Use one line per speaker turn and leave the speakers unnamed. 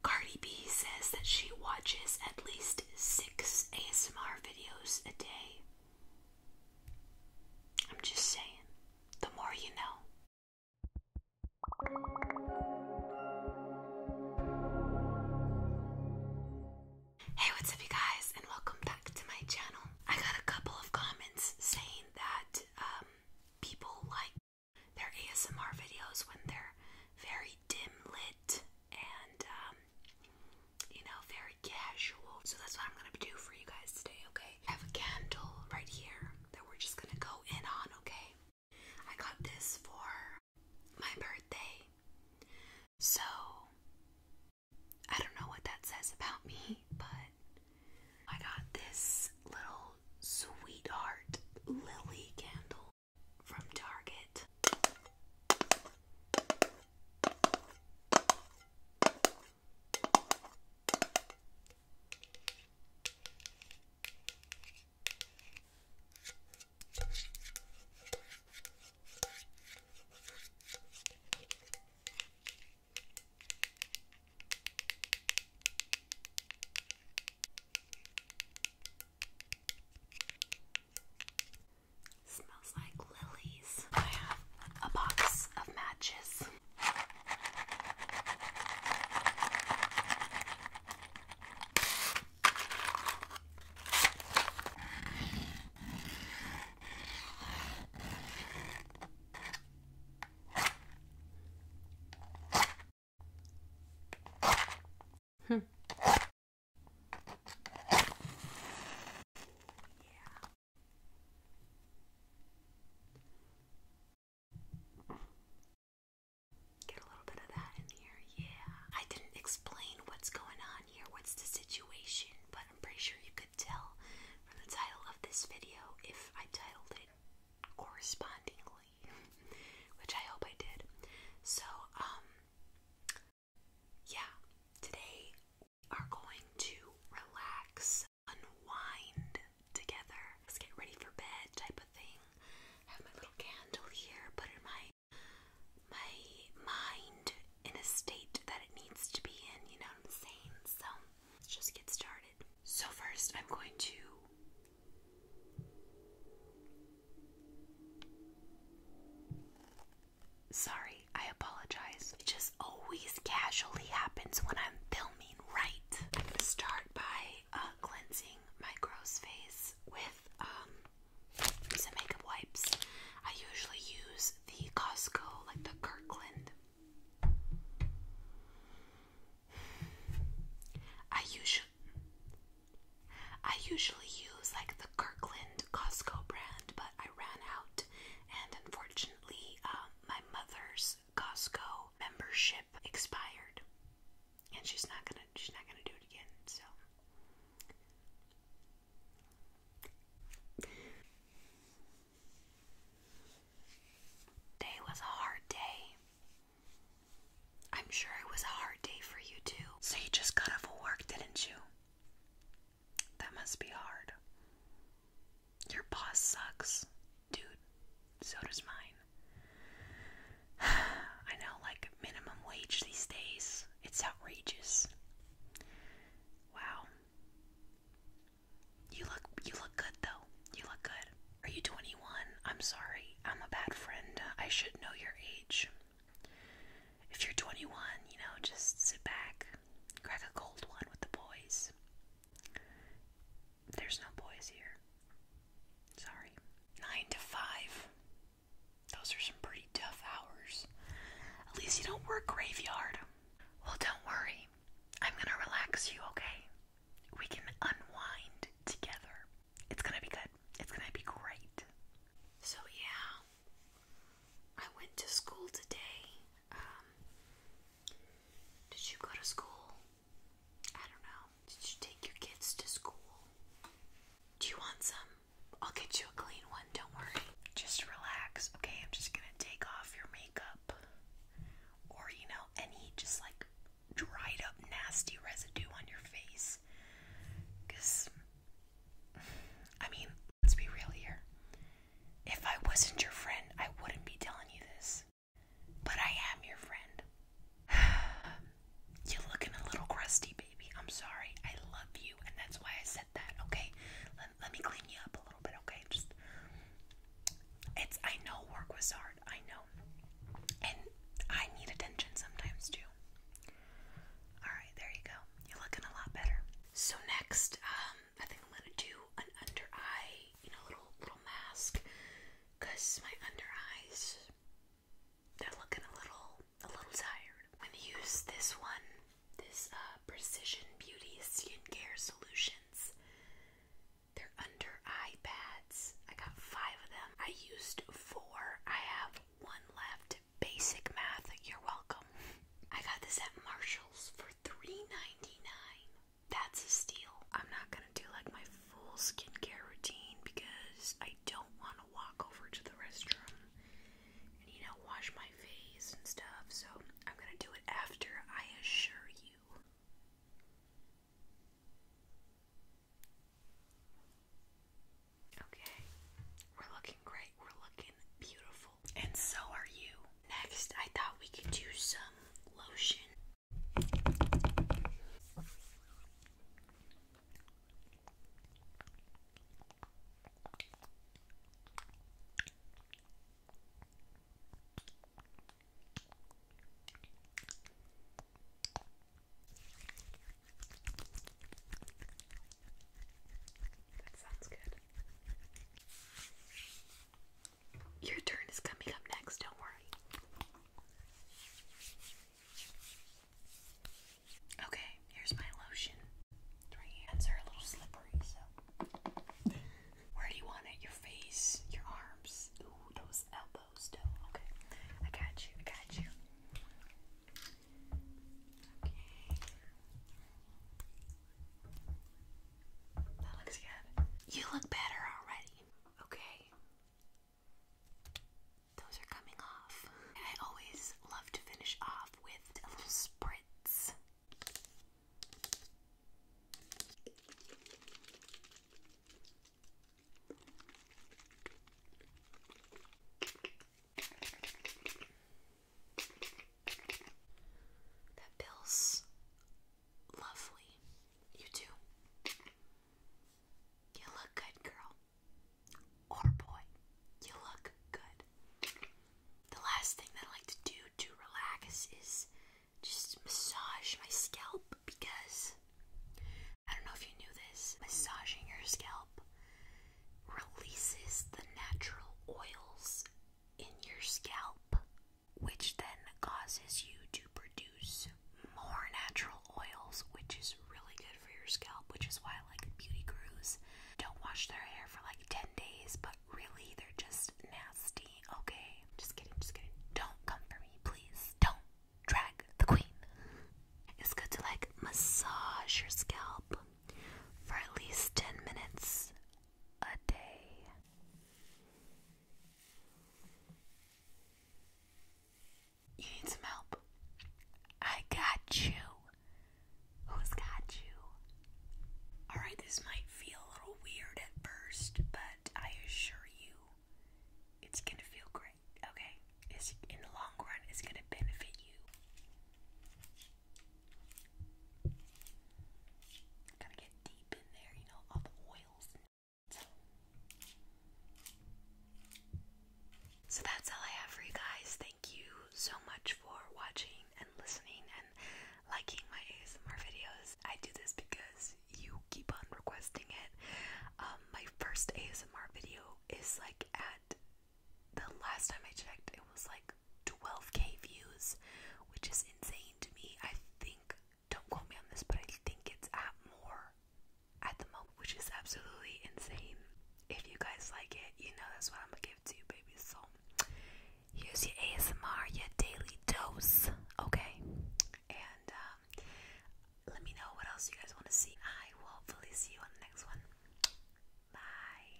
Cardi B says that she watches at least six ASMR videos a day. I'm just saying, the more you know. Hey, what's up, you guys, and welcome back to my channel. I got a couple of comments saying that um, people like their ASMR videos when they're very dim lit and um, you know very casual. So that's what I'm gonna do for you guys today. Okay, I have a candle right here that we're just gonna go in on. Okay, I got this for my birthday, so I don't know what that says about me, but I got this little Sweetheart Lily Candle from Target. Smells like lilies. I have a box of matches yeah. Hmm. Get a little bit of that in here. Yeah. I didn't explain what's going on here, what's the situation, but I'm pretty sure you could tell from the title of this video if I titled it correspondingly, which I hope I did. So, um, yeah, today we are going to relax, unwind together. Let's get ready for bed, type of thing. I have my little candle here, put in my my mind in a state that it needs to be in. You know what I'm saying? So let's just get started. So, first, I'm going to Sorry, I apologize. It just always casually happens when I'm filming, right? I'm gonna start by uh, cleansing my gross face with um, some makeup wipes. I usually use the Costco, like the Kirkland I usually I usually use like the Kirkland Costco brand, but I ran out and unfortunately um, my mother's Costco membership expired and she's not gonna she's not gonna do it again, so Day was a hard day. I'm sure it was a hard day for you too. So you just got off of work, didn't you? That must be hard. Your boss sucks, dude. So does mine. I know, like minimum wage these days. It's outrageous. Wow. You look you look good though. You look good. Are you 21? I'm sorry. I'm a bad friend. I should know your age. If you're 21, you know, just sit back. Crack a cold one with the boys. There's no boys here. Sorry. 9 to 5. Those are some pretty tough hours. At least you don't work graveyard. Well, don't worry. I'm gonna relax you, okay? We can unwind together. It's gonna be good. It's gonna be great. So, yeah, I went to school today. Um, did you go to school? I don't know. Did you take your kids to school? Do you want some? I'll get you a clean one, don't worry. Just relax, okay? I'm just gonna take off your makeup or, you know, any just like dried up nasty residue on your face. Because, I mean, let's be real here. If I wasn't your friend, I wouldn't be telling you this. But I am your friend. You're looking a little crusty, baby. I'm sorry. I love you, and that's why I said that, okay? let, me clean you up a little bit, okay? Just it's I know work was hard, I know. And I need attention sometimes too. Alright, there you go. You're looking a lot better. So next, um, I think I'm gonna do an under eye, you know, little little mask. Cause my under eyes they're looking a little a little tired. I'm gonna use this one this uh, Precision Beauty Skincare Solutions. They're under eye pads. I got five of them. I used four. I have one left. Basic math. You're welcome. I got this at Marshalls for $3.99. That's a steal. I'm not gonna do like my full skincare routine because I don't want to walk over to the restroom and you know wash my face and stuff. So I'm gonna do it after. I assure you. Okay, we're looking great. We're looking beautiful, and so are you. Next, I thought we could do some lotion. That sounds good. Your turn is coming up next, don't worry. Okay, here's my lotion. Three hands are a little slippery, so. Where do you want it? Your face, your arms. Ooh, those elbows, though. Okay, I got you, I got you. Okay. That looks good. You look better already. Okay those are coming off. I always love to finish off with a little spritz. That feels lovely. You too. You look good, girl. Or oh, boy, you look good. The last thing that I like to do to relax is just massage my scalp because I don't know if you knew this, massaging your scalp releases the natural oils in your scalp, which then causes you to produce more natural oils, which is really good for your scalp, which is why I like beauty gurus don't wash their hair for like 10 days, but really they're just nasty, okay? Just kidding, just kidding. Don't come for me, please. Don't drag the queen. It's good to like massage your scalp for at least 10 minutes a day. You need some help. I got you. Who's got you? Alright, this might feel a little weird at first, but I assure you it's gonna feel great, okay? It's, in the long run, it's gonna benefit you. Gotta get deep in there, you know, all the oils so that's all I have for you guys. Thank you so much for watching and listening and liking my ASMR videos. I do this because you keep on requesting it. Um, my first ASMR video is like at the last time I checked, it was like 12k views, which is insane to me. I think, don't quote me on this, but I think it's at more at the moment, which is absolutely insane. If you guys like it, you know that's what I'm gonna give to you, baby. So, here's your ASMR, your daily dose, okay? And um, let me know what else you guys want to see. I will hopefully see you on the next one. Bye.